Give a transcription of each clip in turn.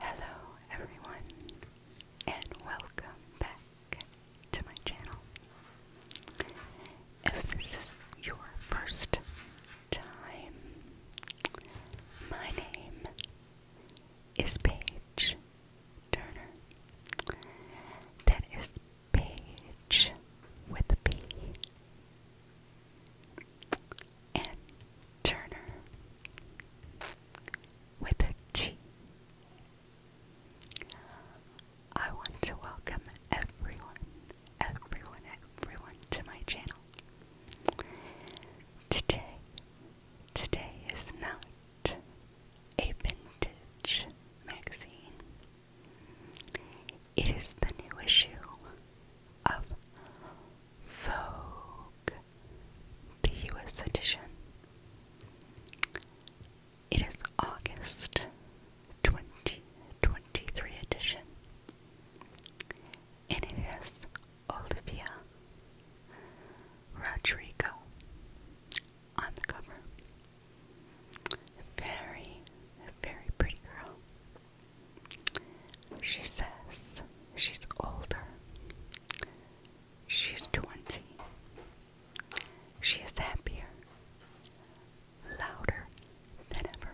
Hello, everyone, and welcome back to my channel. If this is your first time, my name is Paige Turner. That is Paige with a P and Turner with a T. I want to welcome everyone, everyone, everyone to my channel. Today, today is not a vintage magazine. It is the new issue of Vogue, the US edition. It is August 2023 edition. And it is Olivia Rodrigo on the cover. Very, very pretty girl. She says she's older. She's 20. She is happier, louder than ever.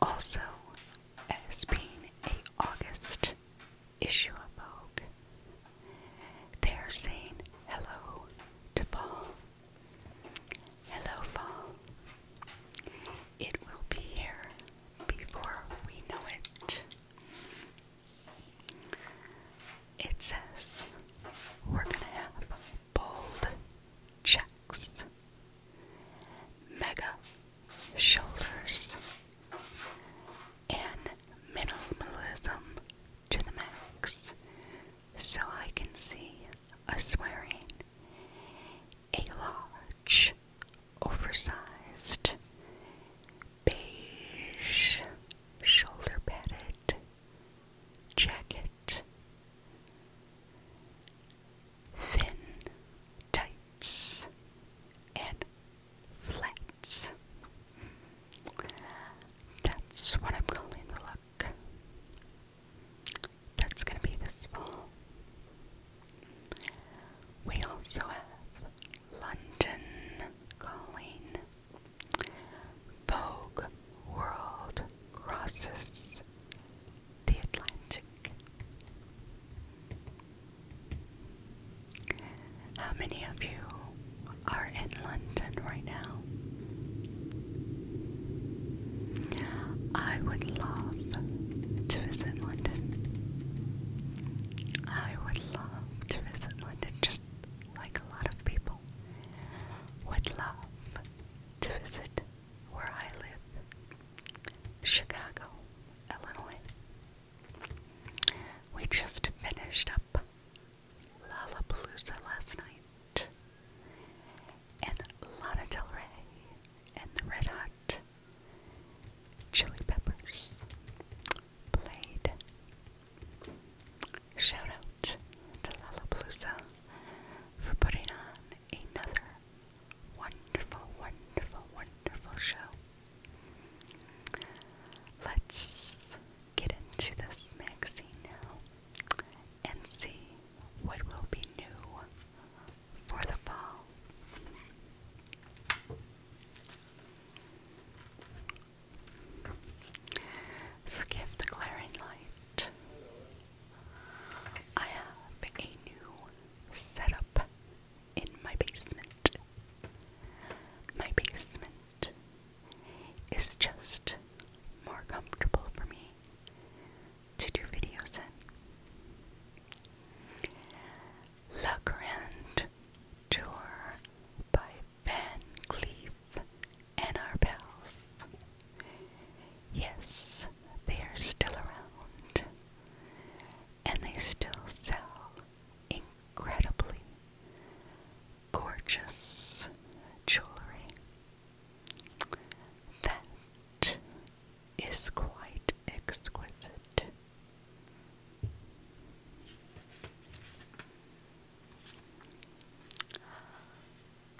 Also, as being a August issue of Vogue, they are saying hello to fall. Hello, fall. It will be here before we know it. It says we're going to have bold checks, mega shoulders, and minimalism to the max so I can see a swearing a large, oversized, beige, shoulder padded jacket, thin tights, and flats. That's what I'm calling the look. That's going to be this fall. We also have London Calling, Vogue World Crosses the Atlantic. How many of you are in London right now? I would love to visit London. I would love to visit London, just like a lot of people would love to visit where I live, Chicago, Illinois. We just finished up Lollapalooza last night and Lana Del Rey and the Red Hot Chili Peppers played. Shout out to Lollapalooza for putting on another wonderful, wonderful, wonderful show. Let's get into this magazine now and see what will be new for the fall. Forgive the glaring light. I have a new setup in my basement. My basement is just more comfortable for me to do videos in. La Grande Tour by Van Cleef and our pals. Yes, they are still around, and they still sell incredibly gorgeous jewelry. That is quite exquisite.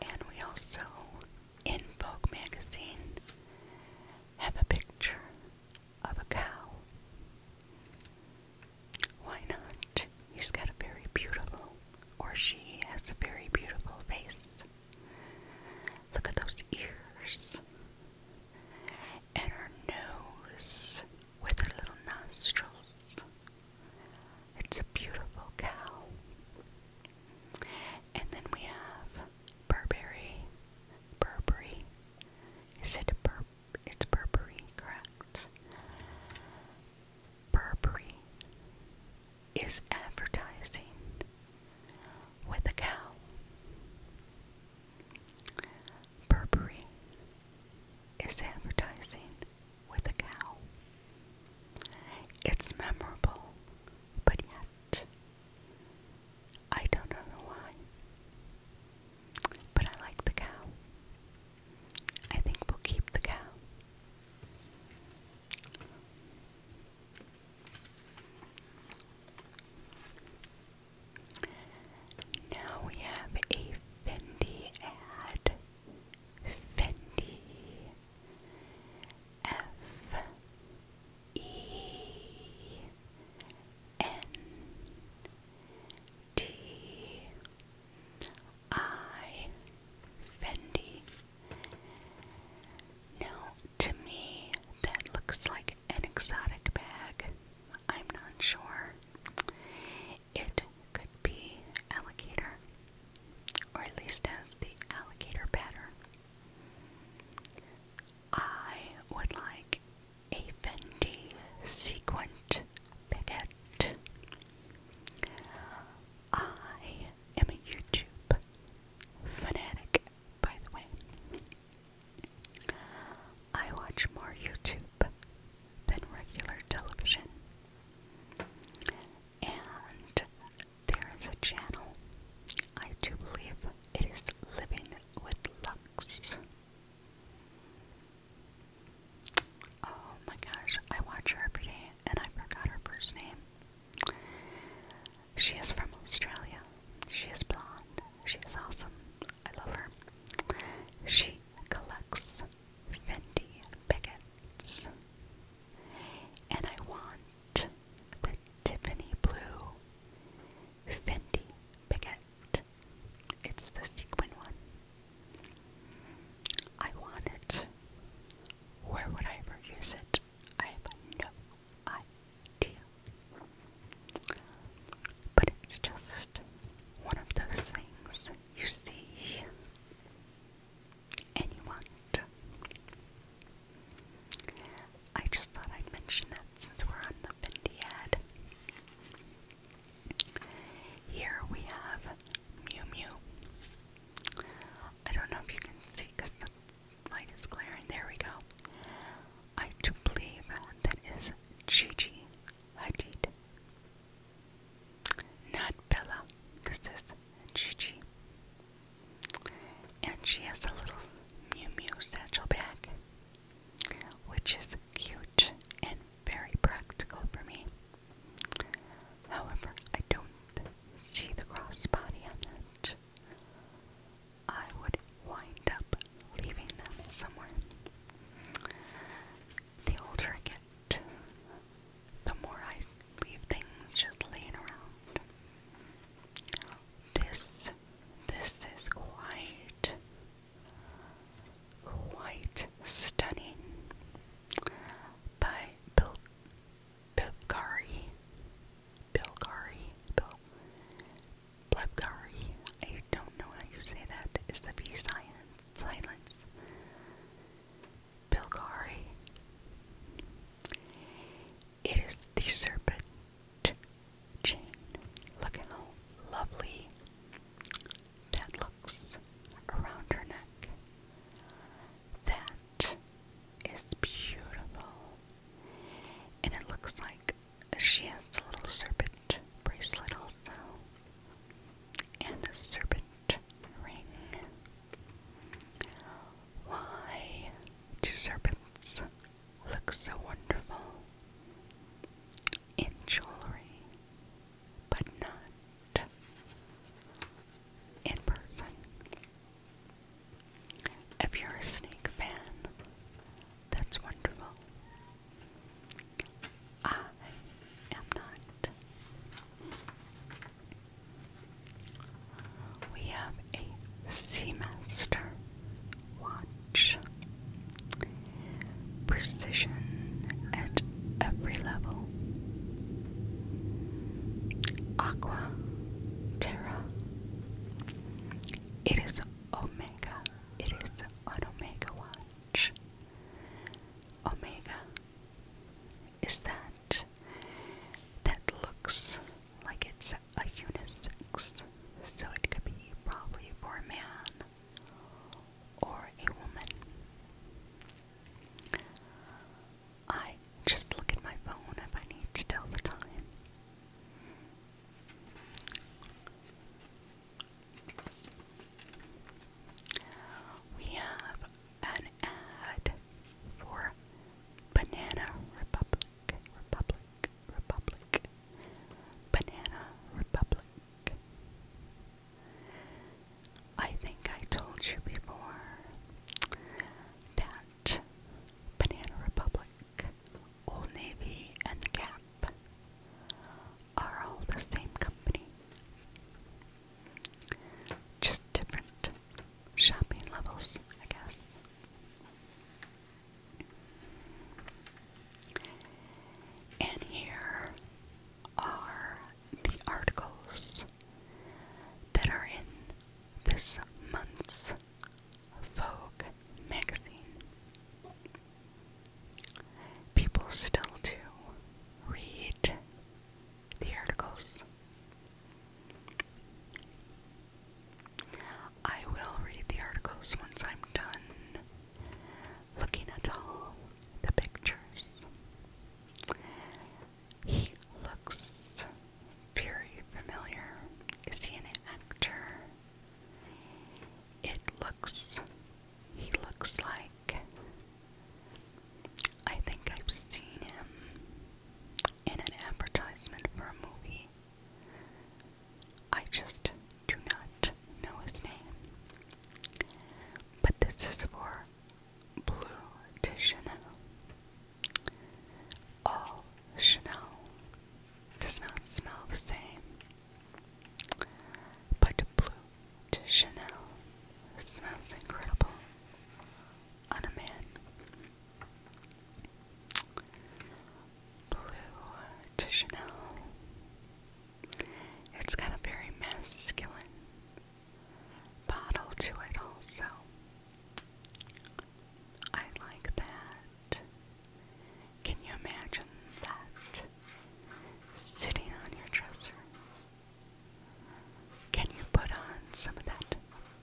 And we also, in Vogue magazine, have a picture of a cow. Why not? He's got a very beautiful, or she has a very beautiful face. Look at those ears. And her nose with her little nostrils. It's a beautiful cow. And then we have Burberry. Burberry. Is it a Bur it's Burberry, correct? Burberry is advertising with a cow. Burberry is advertising with a cow. It's memorable, but yet I don't know why. But I like the cow. I think we'll keep the cow. Now we have a Fendi ad. Fendi. F. E. N. T. I. Fendi. Now to me, that looks like an exotic bag. I'm not sure. It could be alligator, or at least has the alligator pattern. I would like a Fendi sequent baguette. I am a YouTube fanatic, by the way. I watch more YouTube than regular television. And there is a channel, I do believe it is Living with Lux. Oh my gosh, I watch her every day and I forgot her first name. She is from Australia. She is blonde. She is awesome. I love her. She collects Fendi Bigots. And I want the Tiffany Blue Fendi Bigot. It's the sequin one. I want it. Where would I ever use it? I have no idea. But it's just one of those things you see and you want. I just thought I'd mention that since we're on the Fendi Here we have Mew Mew. I don't know if you can see because the light is glaring. There we go. I do believe that is Gigi Hadid. Not Bella. This is Chichi, And she has a little Mew Mew satchel bag, which is cute and very practical for me. However, I don't see the crossbody on that. I would wind up leaving them somewhere. The older I get, the more I leave things just laying around. This, this is quite, quite stunning by Bill Bilgari Bill Gary, Bill Blevgari, I don't know how you say that. Is the V Silence. Bilgari. It is the serpent chain. Look at how lovely that looks around her neck. That that is beautiful. And it looks like she has a little serpent bracelet also. And the serpent ring. Why do serpents look so wonderful in jewelry, but not in person? If you're a snake fan, that's wonderful. I am not. We have a Seamaster watch. Precision at every level. Aqua, Terra, it is Omega. It is an Omega watch. Omega is that that looks like it's a unisex. So it could be probably for a man or a woman. I just look at my phone if I need to tell the time. We have an ad for Banana Republic, Republic, Republic, Banana Republic. I think I told you before that Banana Republic, Old Navy, and Gap are all the same company. Just different shopping levels, I guess. And here are the articles that are in this month's Vogue magazine. People still do read the articles. I will read the articles once I'm done looking at all the pictures. He looks very familiar. Is he an actor? It looks. He looks like. I think I've seen him in an advertisement for a movie. I just do not know his name. But this is for Blue Titian. All Chanel does not smell the same, but blue to Chanel smells incredible on a man. Blue to Chanel. It's got very masculine bottle to it, also. I like that. Can you imagine that? Sitting on your dresser. Can you put on some of that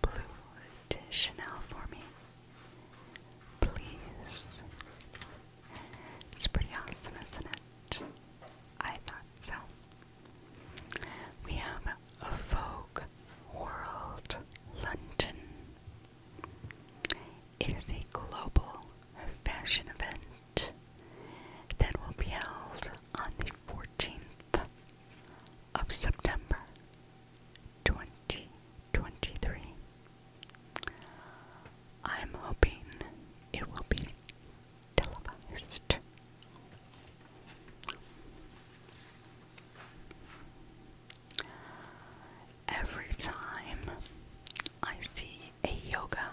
blue Chanel for me? Please. It's pretty awesome, isn't it? I thought so. We have of Vogue World London. is a global fashion event that will be held on the 14th of September 2023. I'm hoping it will be televised. Every time I see a yoga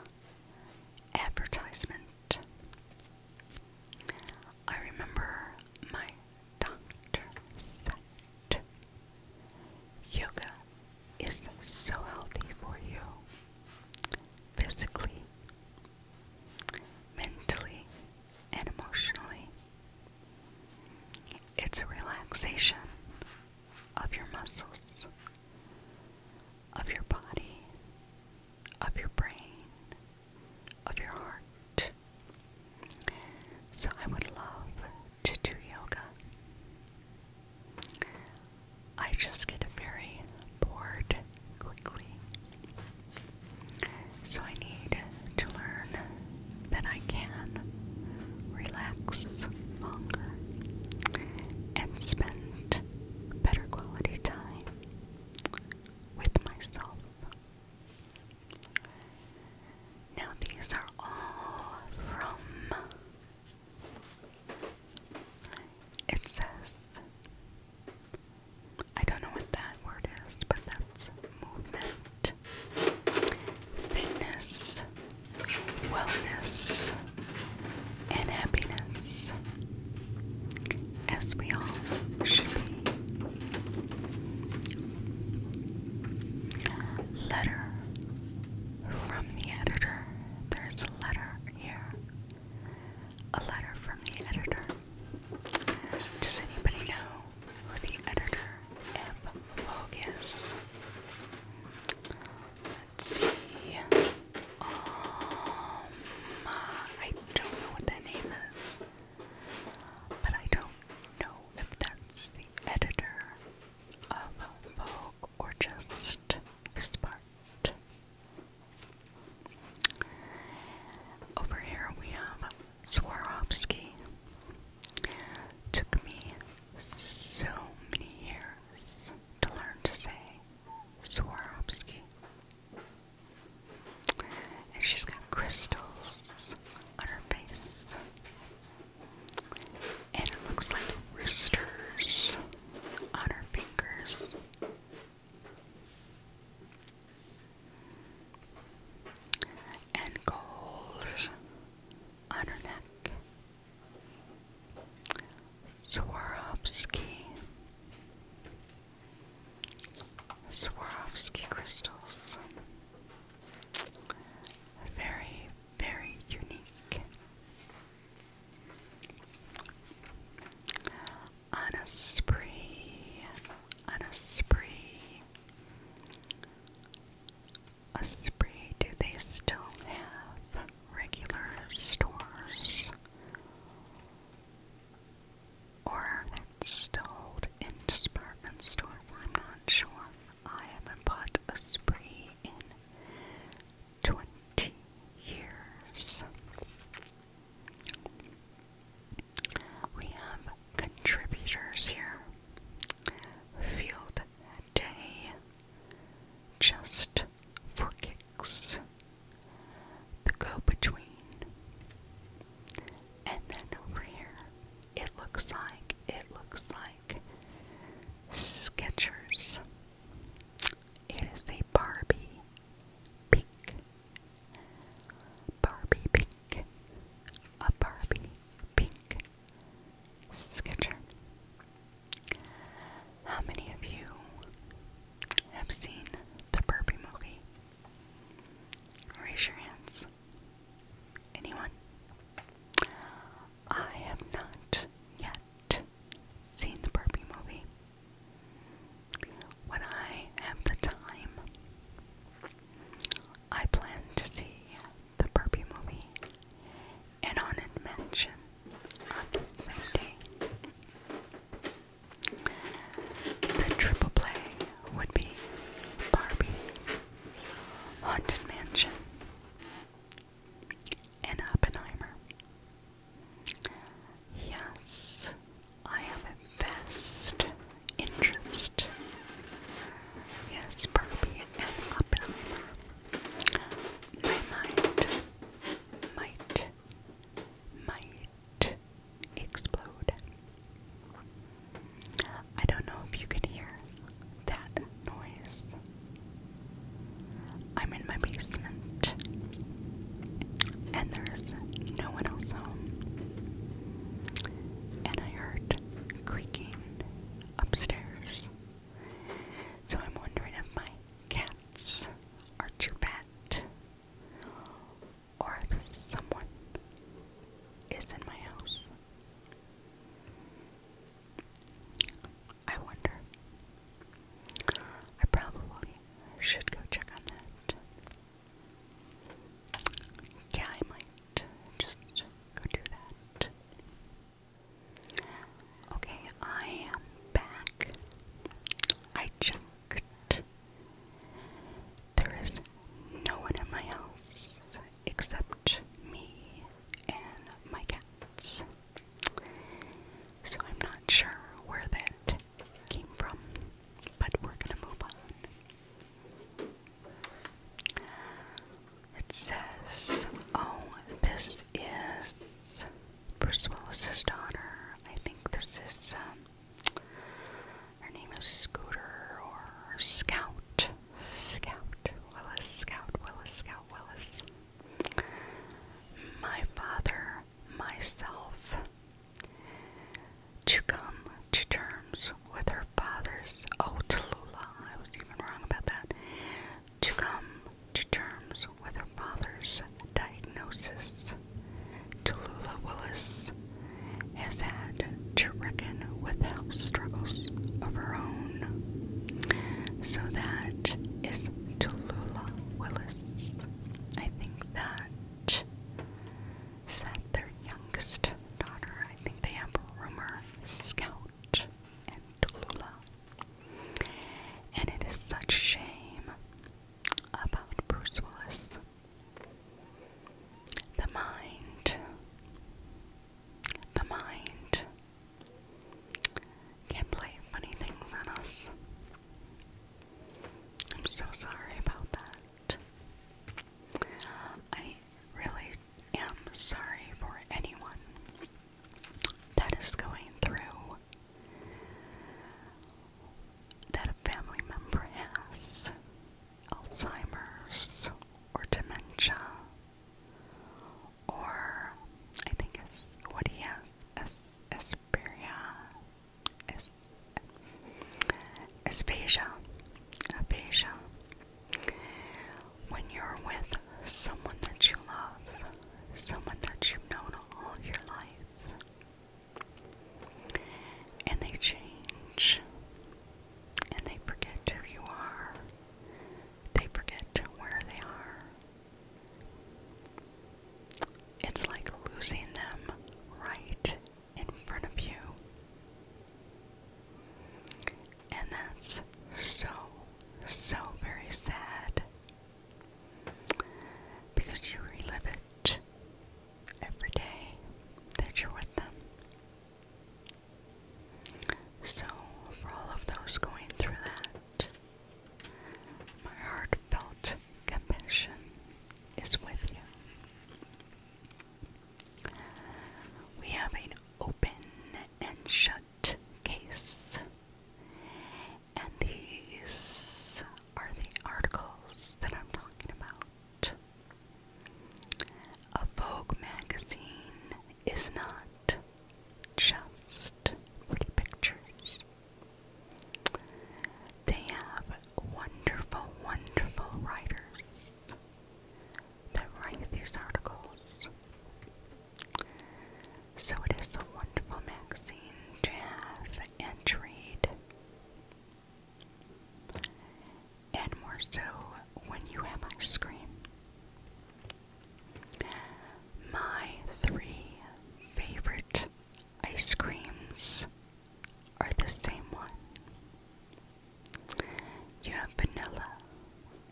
advertisement, I remember my doctor said, Yoga is so healthy for you physically, mentally, and emotionally. It's a relaxation of your muscles, of your body, of your brain, of your heart. So I would love to do yoga. I just get very bored quickly. So I need to learn that I can relax and spend better quality time with myself. Now, these are all from. It says I don't know what that word is, but that's movement, fitness, wellness, and happiness, as we all should be. Letter from the editor. There's a letter here. A letter from the editor. Does anybody know the editor of Focus. Let's see. Um, I don't know what that name is, but I don't know if that's the editor of Vogue or just Smart. Over here we have Swarovski. Took me so many years to learn to say Swarovski. And she's got crystals on her face. And it looks like roosters on her fingers and coals on her neck. Swarovski. Swarovski crystals. Very, very unique. On a spree, on a spree, Esprit, do they still have regular stores? Or that's still sold in department stores? I'm not sure. I haven't bought Esprit in 20 years. We have contributors here. Field Day, Just for Kicks, The Go Between. And then over here, it looks like, it looks like Sketchers. It is a Barbie pink Barbie pink, a Barbie pink sketcher. How many of you have seen the Barbie movie? Raise your hands. Anyone? I have not yet seen the Barbie movie. When I have the time, I plan to see the Barbie movie and Haunted Mansion on the same day. The triple play would be Barbie, Haunted Mansion, and Oppenheimer. Yes, I am a best interest. Yes, Barbie and Oppenheimer. My mind might, might explode. I don't know if you can hear that noise. I'm in my basement and there's no one else home. And I heard creaking upstairs. So I'm wondering if my cats are too bad or if someone is in my house. I wonder. I probably should go check on that. Yeah, I might just go do that. Okay, I am back. I checked. There is no one in my house except me and my cats. So I'm not sure where that came from, but we're gonna move on. It says, Oh, this is Bruce Willis's daughter. I think this is, um, her name is Scooter or Scout. Scout, Willis, Scout, Willis, Scout, Willis. My father, myself to come to terms with her father's oh Tallulah, I was even wrong about that. To come to terms with her father's diagnosis, Tallulah Willis has had to reckon with health struggles of her own. So that is Tallulah Willis. I think that is that their youngest daughter. I think they have Rumor, Scout, and Tallulah. And it is such shame about Bruce Willis. The mind. The mind can play funny things on us. I'm so sorry about that. I really am sorry for anyone that is going through that a family member has Alzheimer's or dementia, or I think it's what he has as Asperia, as, aphasia, when you're with someone that you love, someone that you've known all your life, and they change, and they forget who you are, they forget where they are. It's like losing them right in front of you. And that's so, so very sad because you relive it every day that you're with them. So, for all of those going through that, my heartfelt compassion is with you. We have an open and shut case. And these are the articles that I'm talking about. A Vogue magazine is not just pretty pictures. They have wonderful, wonderful writers that write these articles. So it is a wonderful magazine to have and to read. And more so when you have ice cream. My three favorite ice creams are the same one. You have vanilla,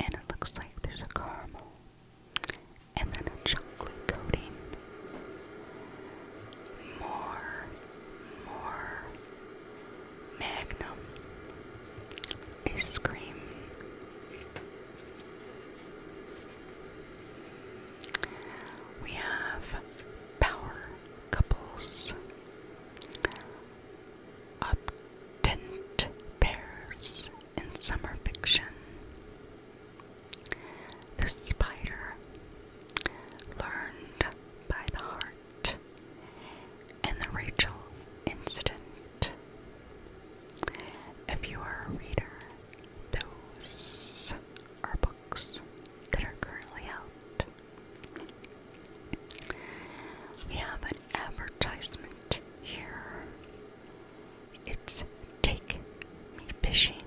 and it looks like there's a caramel, and then a chocolate coating. More, more. Magnum ice cream. We have power couples obtent pairs in summer fiction. The spider, learned by the heart, and the Rachel incident. If you are a reader, those are books that are currently out. We have an advertisement here. It's Take Me Fishing.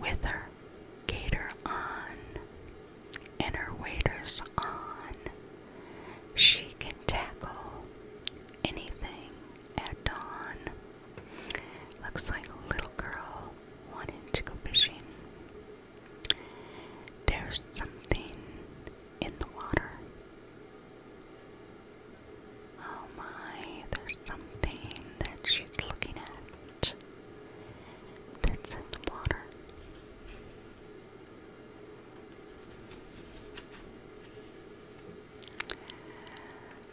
With her gator on and her waders on, she can tackle anything at dawn. Looks like a little girl wanting to go fishing. There's something in the water. Oh my, there's something that she's looking at that's in the water.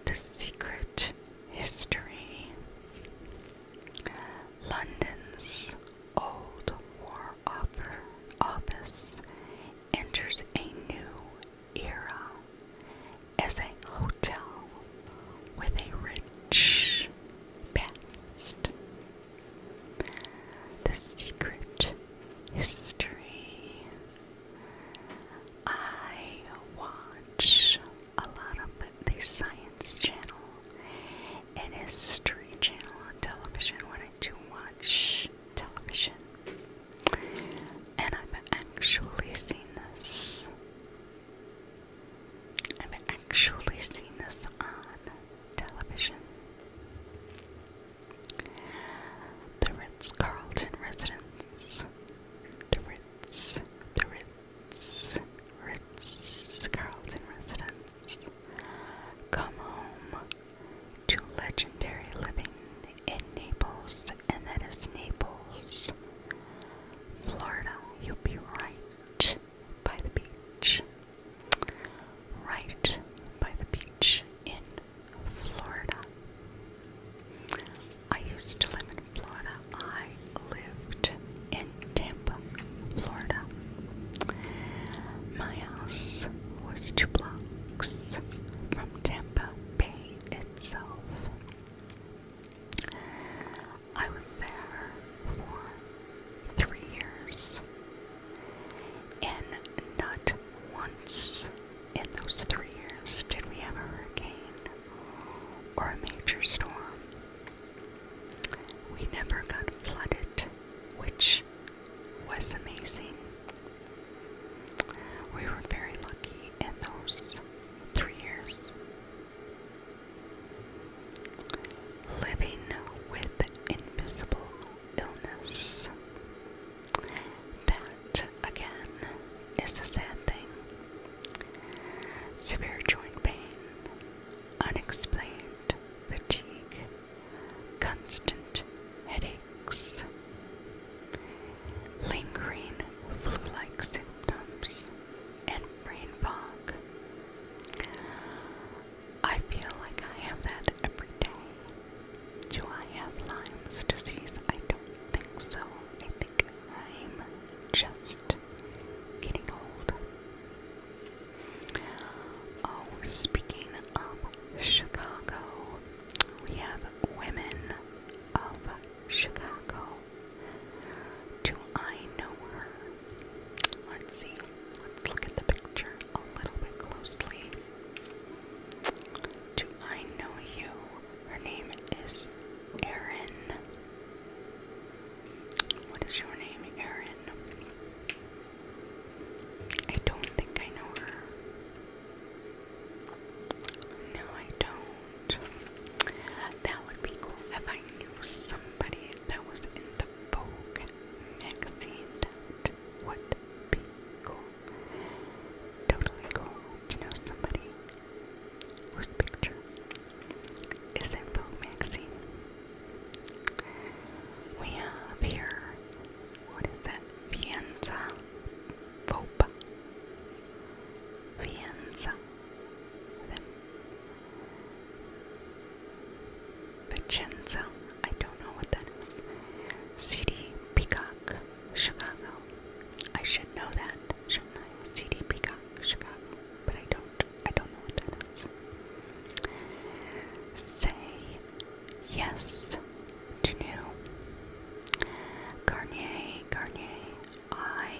The secret history London's Old War Office enters a new era as a hotel with a rich past. The secret history. I watch a lot of the Science Channel and History Channel on television when I do watch television. And I've actually seen this. I've actually seen this on television. The Ritz Carlton residence. The Ritz, the Ritz. Ritz, Carlton residence, come home to legendary living in Naples, and that is Naples, Florida. You'll be right by the beach. Right by the beach in Florida. I used to live in Florida. I lived in Tampa, Florida. My house was two blocks from Tampa Bay itself. I was there for three years, and not once in those three years did we have a hurricane or a major storm. We never got flooded, which was amazing. We were very lucky in those three years. Living with invisible illness. That, again, is a sad thing. Severe joint pain, unexplained fatigue, constant headaches, lingering flu like symptoms, and brain fog. I feel like I have that every day. Do I have Lyme's disease? I don't think so. I think I'm just getting old. Oh, speaking of Chicago, we have Women of Chicago. Do I know her? Let's see. Let's look at the picture a little bit closely. Do I know you? Her name is Erin. What is your name, Erin? I don't think I know her. No, I don't. That would be cool if I knew somebody that was in the Vogue magazine. That be cool. Totally cool to know somebody whose picture is in Vogue magazine. We have here, what is that? Fienza Vopa. Fienza. Vicenza. I don't know what that is. CD Peacock, Chicago. I should know that, shouldn't I? CD Peacock, Chicago. But I don't. I don't know what that is. Say yes to new. Garnier, Garnier. I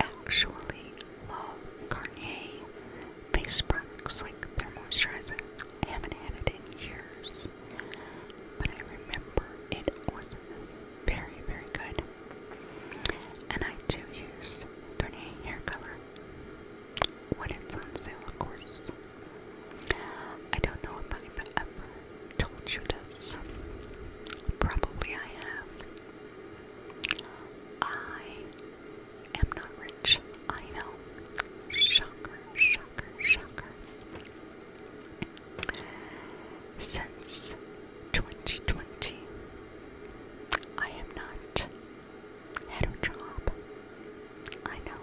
actually love Garnier face products like their moisturizer. I haven't had it in years, but I remember it was very, very good. And I do use Garnier hair color when it's on sale, of course. I don't know if i ever told you this. Probably I have. I am not rich. I know. Shocker, shocker, shocker. Since 2020, I am not at I know.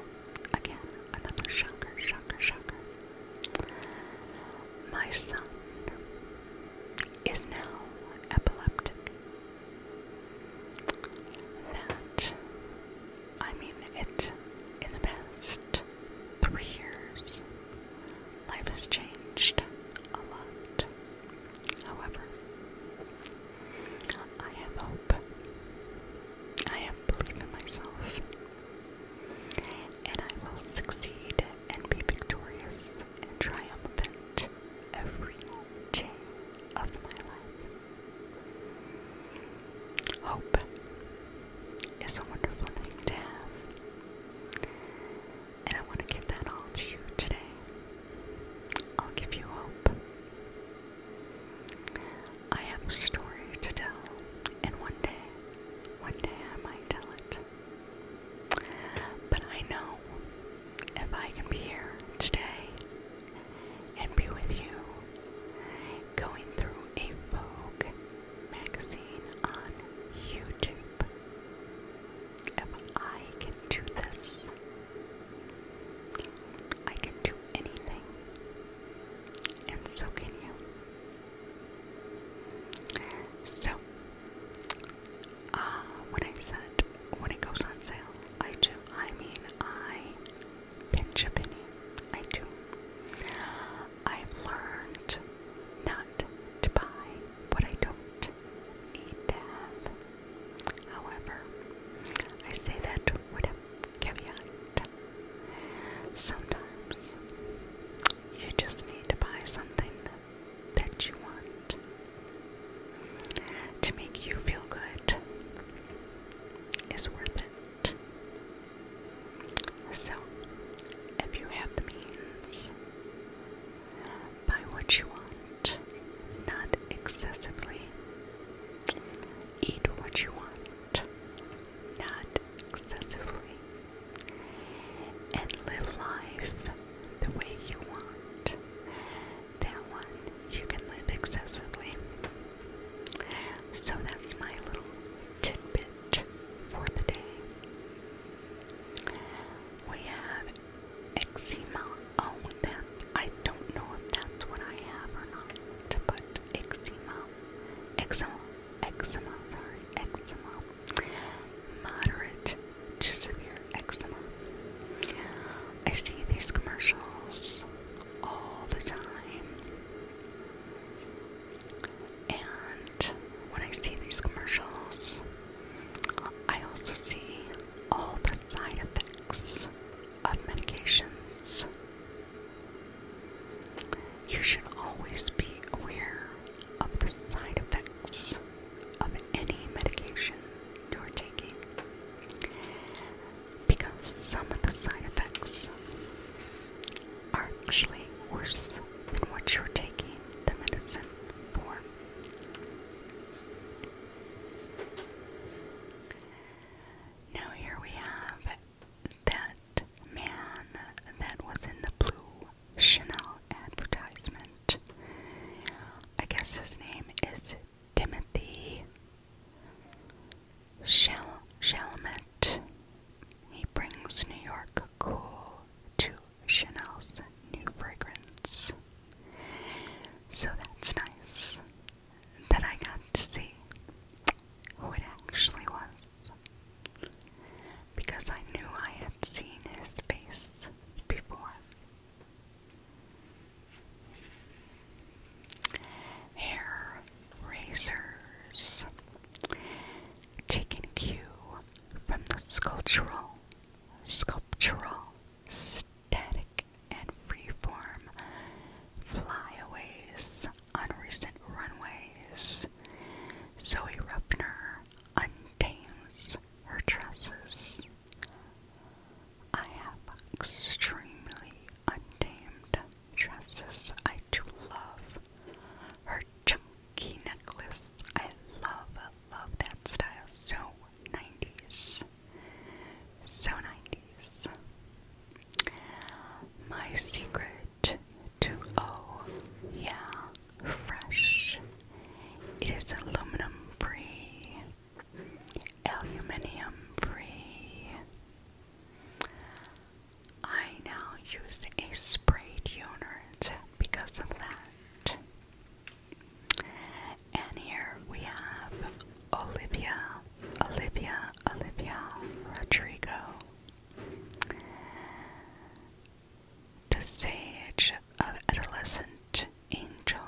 Again, another shocker, shocker, shocker. My son is now epileptic. That, I mean, it, in the past three years, life has changed a lot. However, I have hope. I have belief in myself. And I will succeed and be victorious and triumphant every day of my life. Hope is a wonderful thing to have. And I want to give that all to you today. I'll give you hope. I have a story to tell, and one day, one day I might tell it. But I know if I can be here today and be with you, going through a Vogue magazine on YouTube, if I can do this I can do anything, and so can you. So, uh, when I said when it goes on sale, I do. I mean, I pinch a penny. I do. I've learned not to buy what I don't need to have. However, I say that with a caveat. Sometimes you just need to buy something that you want to make you feel good is worth it. So, if you have the means, Buy what you want, not excessively. Eat what you want, not excessively. And live life the way you want. That one you can live excessively. So that's my little tidbit for the day. We have eczema. Oh, that I don't know if that's what I have or not, but eczema, eczema, eczema. Sorry, eczema. Moderate to severe eczema. I see these commercials all the time. And when I see these commercials, I also see all the side effects of medications. You should always be aware of the side effects of any medication you're taking because some of the side effects are actually worse than what you're taking the medicine for. Now here we have that man that was in the blue Chanel advertisement. I guess his name is Timothy Shal Shalmet. He brings New York cool to Chanel's new fragrance. So that's nice that I got to see who it actually was. Because I knew I had seen his face before. Hair razors, taken cue from the sculptural, sculptural static and freeform flyaways on recent runways. Zoe Rupner untames her tresses. I have extremely untamed tresses. I do love her chunky necklace. I love, love that style so 90s. So 90s. My secret to Oh Yeah Fresh. It is aluminum free, aluminium free. I now use a spray deodorant because of that. And here we have Olivia, Olivia, Olivia Rodrigo. The sage of adolescent angel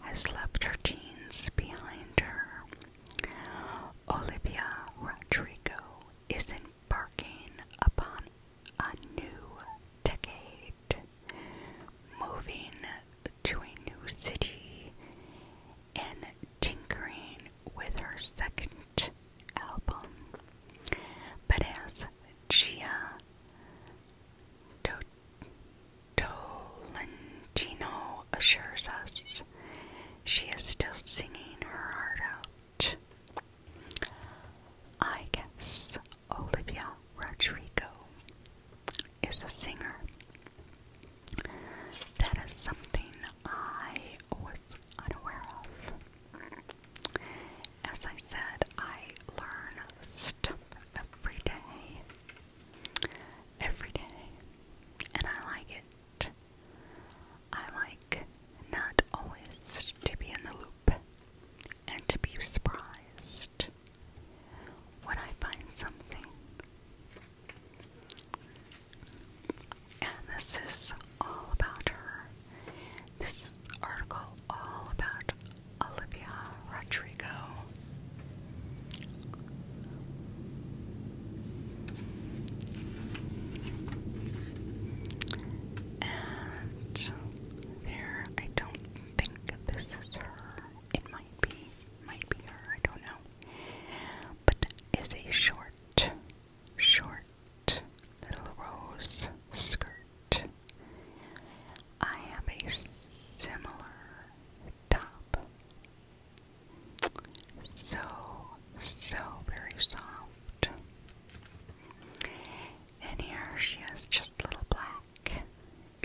has left her teens behind her. Olivia Rodrigo is embarking upon a new decade moving to a new city, and tinkering with her second album. But as Gia Do Dolentino assures us, she is still singing her heart out. I guess Olivia Rodrigo is a singer. That is something I was unaware of. As I said, I learn stuff every day. Every day. And I like it. I like not always to be in the loop and to be surprised. Would I find something? And this is all about her. This article all about Olivia Rodrigo. And there, I don't think this is her. It might be might be her, I don't know. But that is a short, short little rose skirt. I have a similar top. So, so very soft. And here she has just little black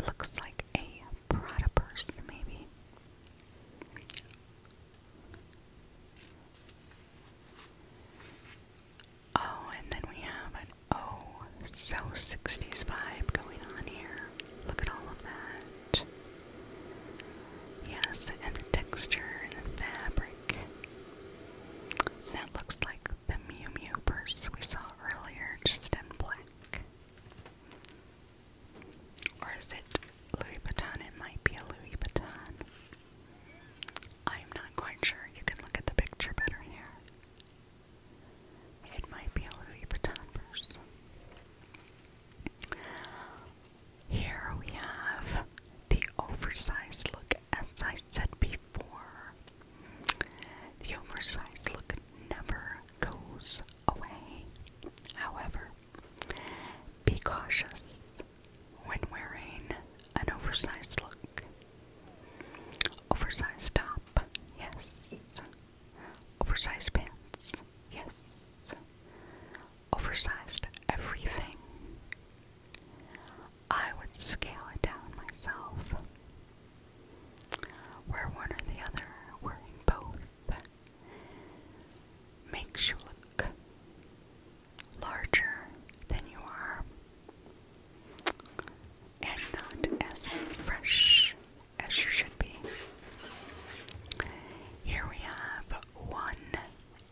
looks like a Prada purse, maybe. Oh, and then we have an oh, so 60s vibe going on here. Look at all of that. Yes, and the texture and the fabric. That looks like the Mew Mew purse we saw earlier, just in black. Or is it Louis Vuitton? It might be a Louis Vuitton. I'm not quite sure. You can look at the picture better here. It might be a Louis Vuitton purse. Here we have the oversized look, as I said before. The oversized look never goes away. However, be cautious when wearing an oversized look. Oversized top, yes. Oversized pants, yes. Oversized everything. I would scale it down myself we one or the other, wearing are in both. Makes you look larger than you are and not as fresh as you should be. Here we have one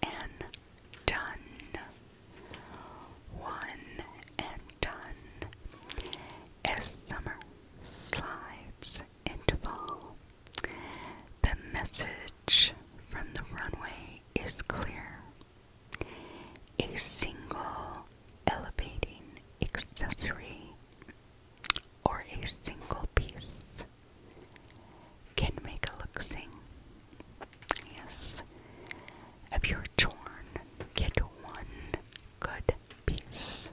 and done. One and done. As summer slides into fall. The message from the runway is clear. A single elevating accessory or a single piece can make a look sing. Yes, if you're torn, get one good piece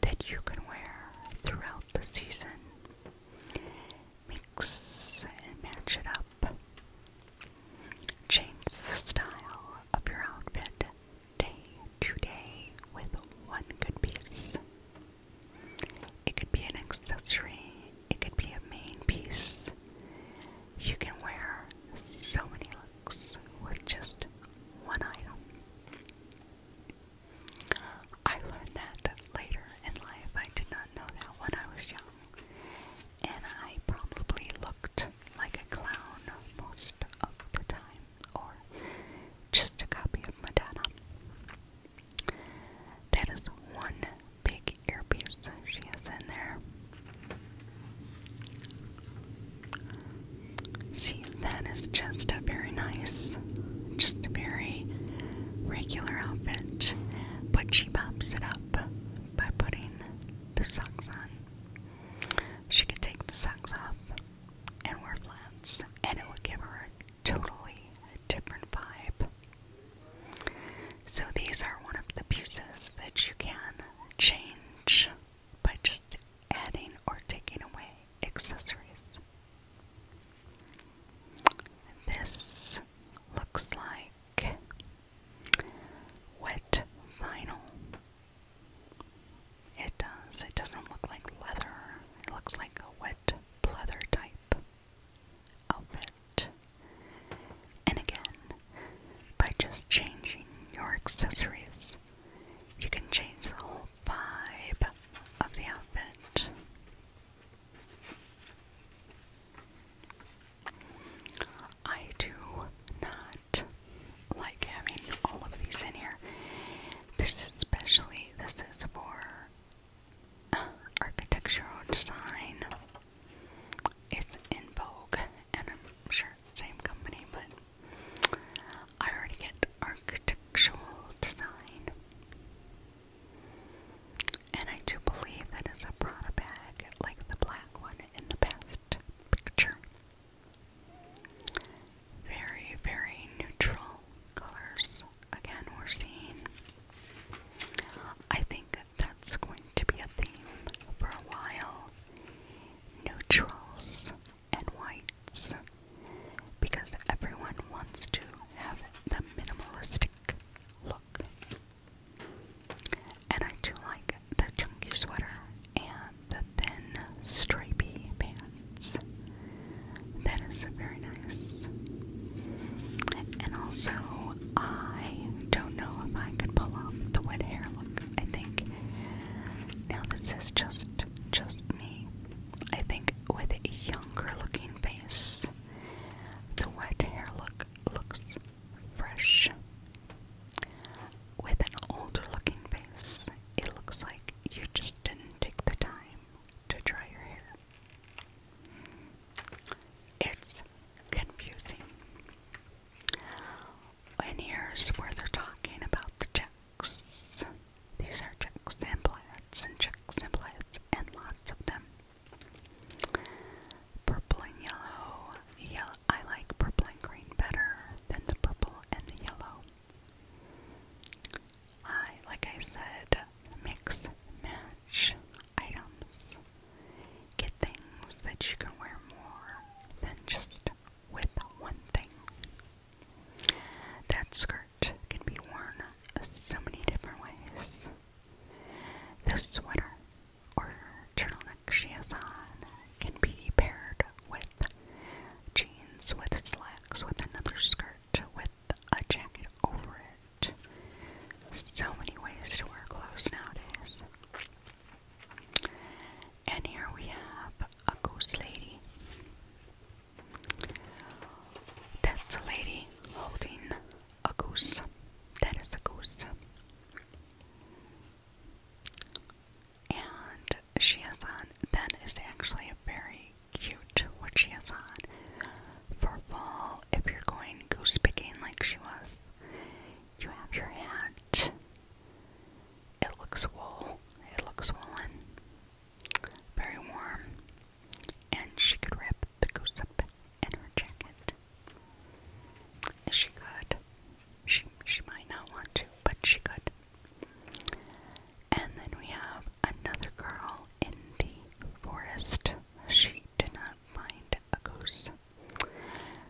that you can wear throughout the season. Mix and match it up. Change the style of your outfit day to day with one good piece. It could be an accessory, it could be a main piece. You can wear so many looks with just one item. I learned that later in life. I did not know that when I was young. And I probably looked like a clown most of the time, or just a copy of Madonna. That is one big earpiece she has in there. See, that is just a very nice, just a very regular outfit, but she pops it up by putting the socks on. She could take the socks off and wear flats, and it would give her a totally different vibe. So, these are one of the pieces that you can change by just adding or taking away accessories. This looks like wet vinyl. It does. It doesn't look like leather. It looks like a wet pleather type outfit. And again, by just changing your accessories, you can change the whole vibe of the outfit. I do not like having all of these in here. This especially, this is for uh, architectural design. It's in vogue, and I'm sure same company, but I already get architectural design. And I do believe that it's a Prada bag, like the black one in the past picture. Very, very neutral colors. Again, we're seeing. I think that's going to be a theme for a while. Neutrals, and whites because everyone wants to have the minimalistic look. And I do like the chunky sweater and the thin stripy pants. That is very nice. And also, I don't know if I could pull off the wet hair look. I think now this is just just me. I think with a younger looking face, the wet hair look looks fresh. With an older looking face, it looks like you just didn't take the time to dry your hair. It's confusing. And here's where they're talking about the jet these are check and plaids and check and plaids and lots of them. Purple and yellow. yellow. I like purple and green better than the purple and the yellow. I, like I said, mix, match items. Get things that you can wear more than just with one thing. That skirt can be worn so many different ways. This sweater or turtleneck she has on can be paired with jeans, with slacks, with another skirt, with a jacket over it. So many ways to wear clothes nowadays. And here we have a ghost lady. That's a lady holding a goose. That is a goose. And she has on, that is actually a very cute what she has on. For fall, if you're going goose picking like she was, you have your hat. It looks swole. It looks swollen. Very warm. And she could wrap the goose up in her jacket. She could. She she might not want to, but she could. And then we have another girl in the forest. She did not find a goose.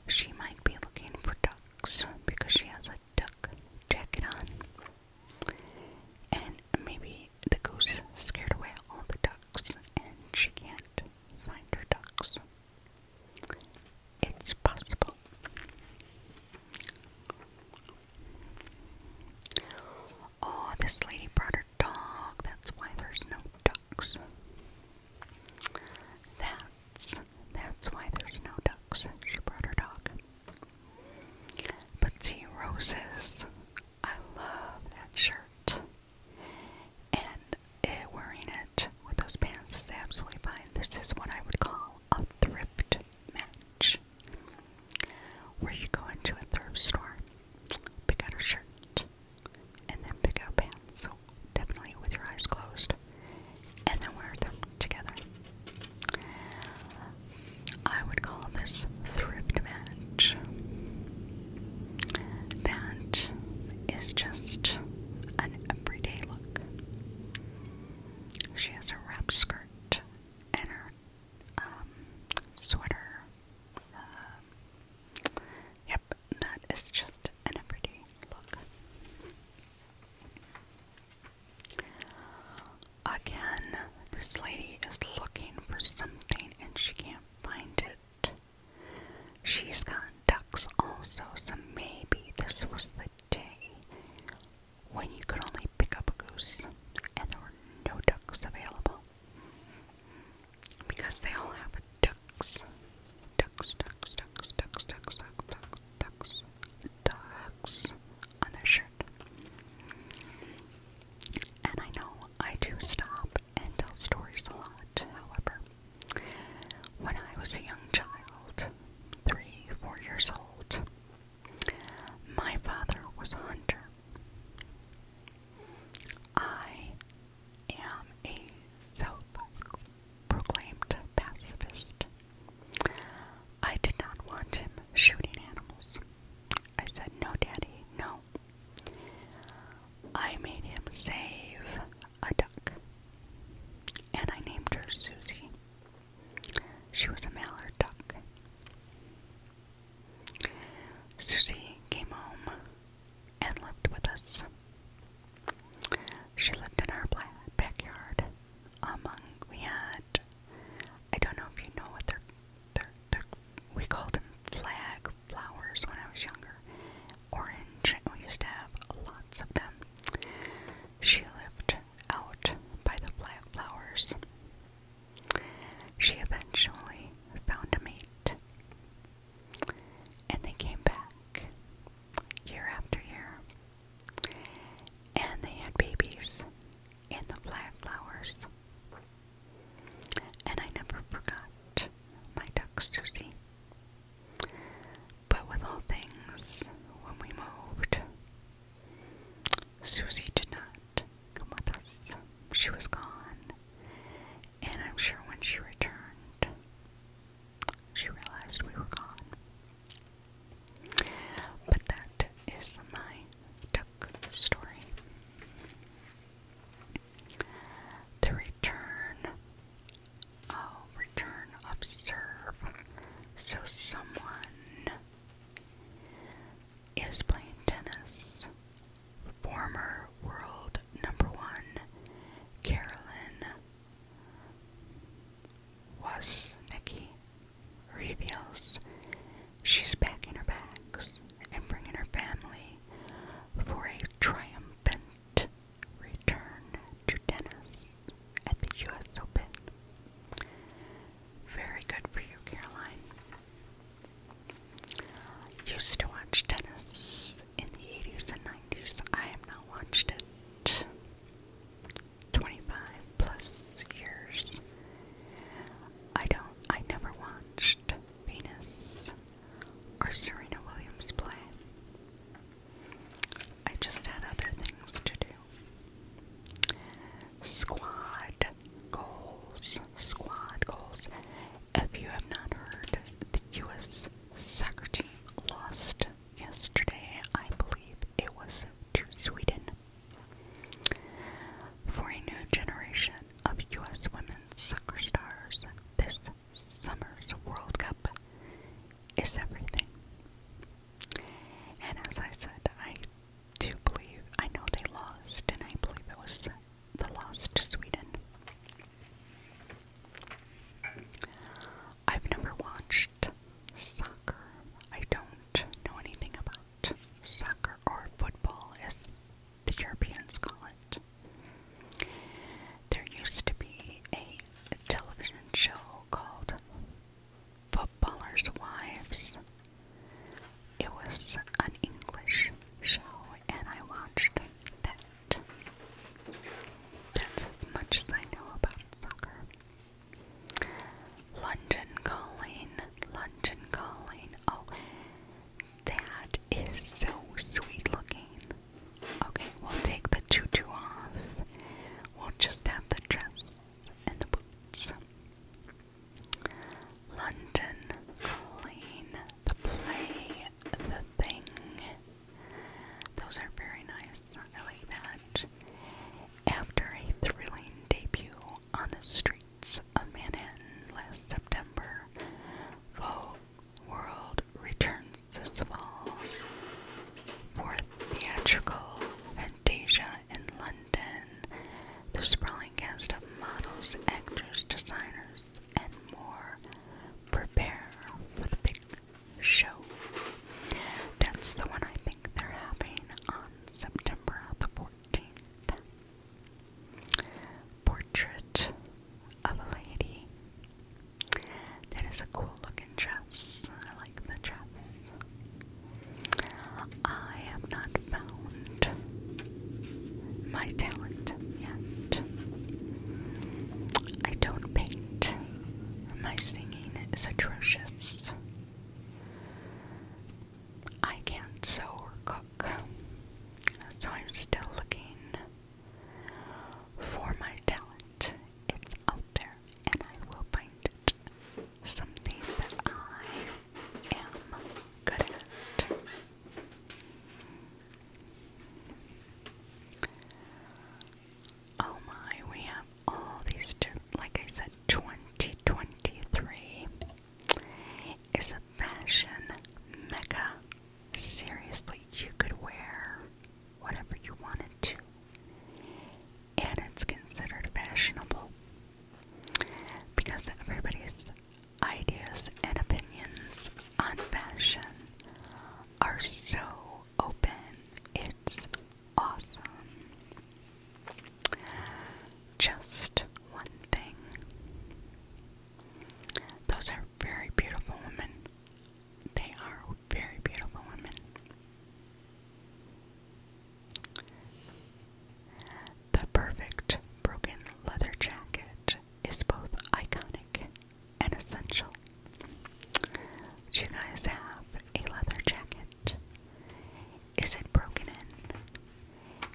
She might be looking for ducks because she has a a duck jacket on. And maybe the goose scared away all the ducks and she can't find her ducks. It's possible. Oh, this lady brought her dog. That's why there's no ducks. That's that's why there's no ducks. She brought her dog. But see, Roses, I love that shirt. And it, eh, wearing it with those pants is absolutely fine. This is what I would call a thrift match. Where you go into a thrift store, pick out a shirt, and then pick out pants. So definitely with your eyes closed and then wear them together. I would call this thrift match. That is just an everyday look. She has a wrap skirt and her um, sweater. Uh, yep, that is just an everyday look. Again, this lady is looking for something and she can't find it. She's got ducks also, so maybe this was the day when you could only pick up a goose and there were no ducks available. Because they all have ducks. Ducks, ducks, ducks, ducks, ducks, ducks, ducks, ducks on their shirt. And I know I do stop and tell stories a lot, however. When I was a young child, three, four years old, my father was a hunter. I am a self proclaimed pacifist. I did not want him shooting animals. I said, No, Daddy, no. I made him save a duck, and I named her Susie. She was a mallard duck. Susie came home and lived with us. She lived in our backyard among we had I don't know if you know what they're they're, they're we called them flag flowers when I was younger. Orange, we used to have lots of them. She lived out by the flag flowers. She eventually found a mate, and they came back year after year. And they had babies in the flag flowers. And I never forgot my ducks, Susie. But with all things, when we moved, Susie did not come with us. She was gone. And I'm sure when she returned, she realized we were gone. But that is my Duck story. The return, oh, return of So someone is playing tennis. Former world number one, Carolyn was Nikki reveals she's packing her bags and bringing her family for a triumphant return to tennis at the U.S. Open. Very good for you, Caroline. Used to watch tennis in the 80s and 90s. I have not watched it. 25 plus years. I don't, I never watched Venus or Serena Williams play. I just had other things to do. Squad goals, squad goals. If you have not heard, the U.S. soccer team lost yesterday. I believe it was to Sweden for a new generation of U.S. women's soccer stars, this summer's World Cup is everything. And as I said, I do believe, I know they lost, and I believe it was the loss to Sweden. I've never watched soccer. I don't don't know anything about soccer or football, as the Europeans call it. There used to be a television show called Footballers' Wives. It was an English show, and I watched that. That's as much as I know about soccer. London Calling, London Calling. Oh, that is so sweet looking. Okay, we'll take the tutu off. We'll just have the dress and the boots. London Calling, the play, the thing. Those are very nice. I like that after a thrilling debut on the streets of Manhattan last September. Vogue World returns this fall for theatrical Fantasia in London. The sprawling cast of models, actors, designers, and more prepare for the big show. That's the one I think they're having on September the 14th. Portrait of a Lady. That is a cool looking dress. I like the dress. I have not found my talent yet. I don't paint. My singing is atrocious. I can't sew or cook, so I'm still looking for my talent. It's out there, and I will find it. Something that I am good at. Oh my, we have all these, like I said, 2023 is a fashion mecca. Seriously, you could wear whatever you wanted to, and it's considered fashionable because everybody's ideas and opinions on fashion are so open. It's awesome. Just one thing. Those are very beautiful women. They are very beautiful women. The perfect broken leather jacket is both iconic and essential. Do you guys have a leather jacket? Is it broken in?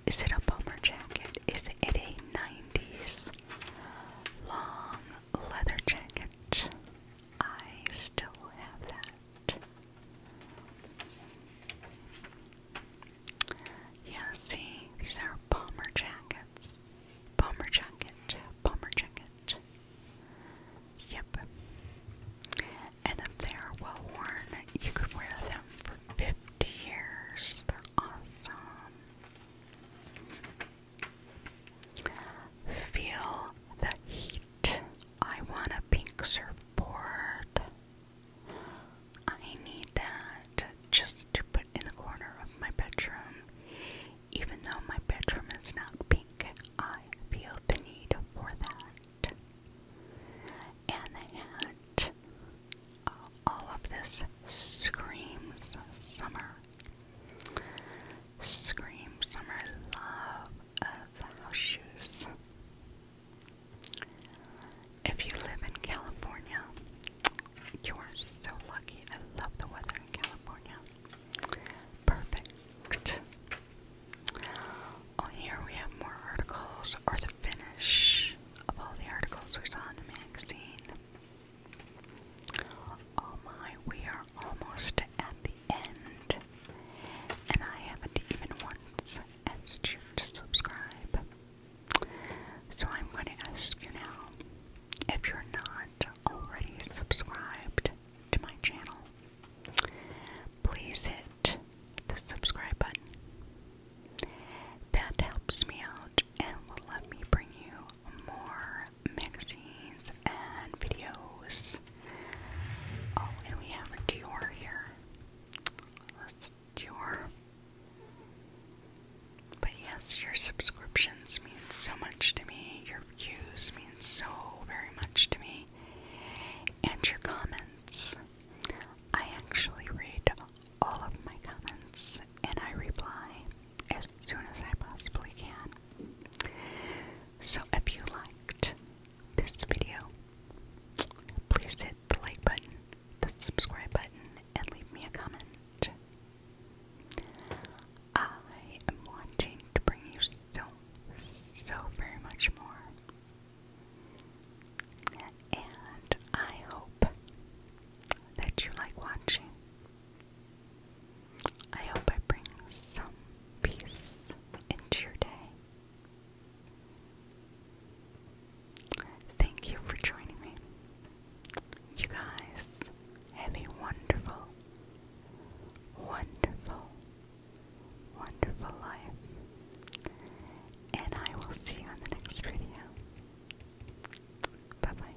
Is it a bomber jacket? Is it a 90s long leather jacket? I still have that. Yeah, see, these are bomber jackets. Bomber jacket, bomber jacket. Yep. And if they are well worn, you could wear them for 50 years. They're awesome. Feel the heat. I want a pink surfboard. I need that just to put in the corner of my bedroom. Even though my bedroom is not pink, I feel the need for that and they had uh, all of this screams summer. Scream summer love of house shoes. If you live in California, you are so lucky. I love the weather in California. Perfect on oh, here we have more articles, or the finish of all the articles we saw in the magazine. Oh my, we are almost at the end, and I haven't even once asked you to subscribe. So I'm going to ask you now if you're not already subscribed to my channel please hit the subscribe button. That helps me out and will let me bring you more magazines and videos. Oh, and we have a Dior here. That's Dior. But yes, your subscriptions mean so much to me. Your views mean so very much to me. And your comments. I actually read all of my comments and I reply as soon as I possibly can. So if you liked this video, please hit the like button, the subscribe button, and leave me a comment. I am wanting to bring you so, so very much more. And I hope that you like watching. I hope I bring some peace into your day. Thank you for joining me. You guys have a wonderful, wonderful, wonderful life. And I will see you in the next video. Bye bye.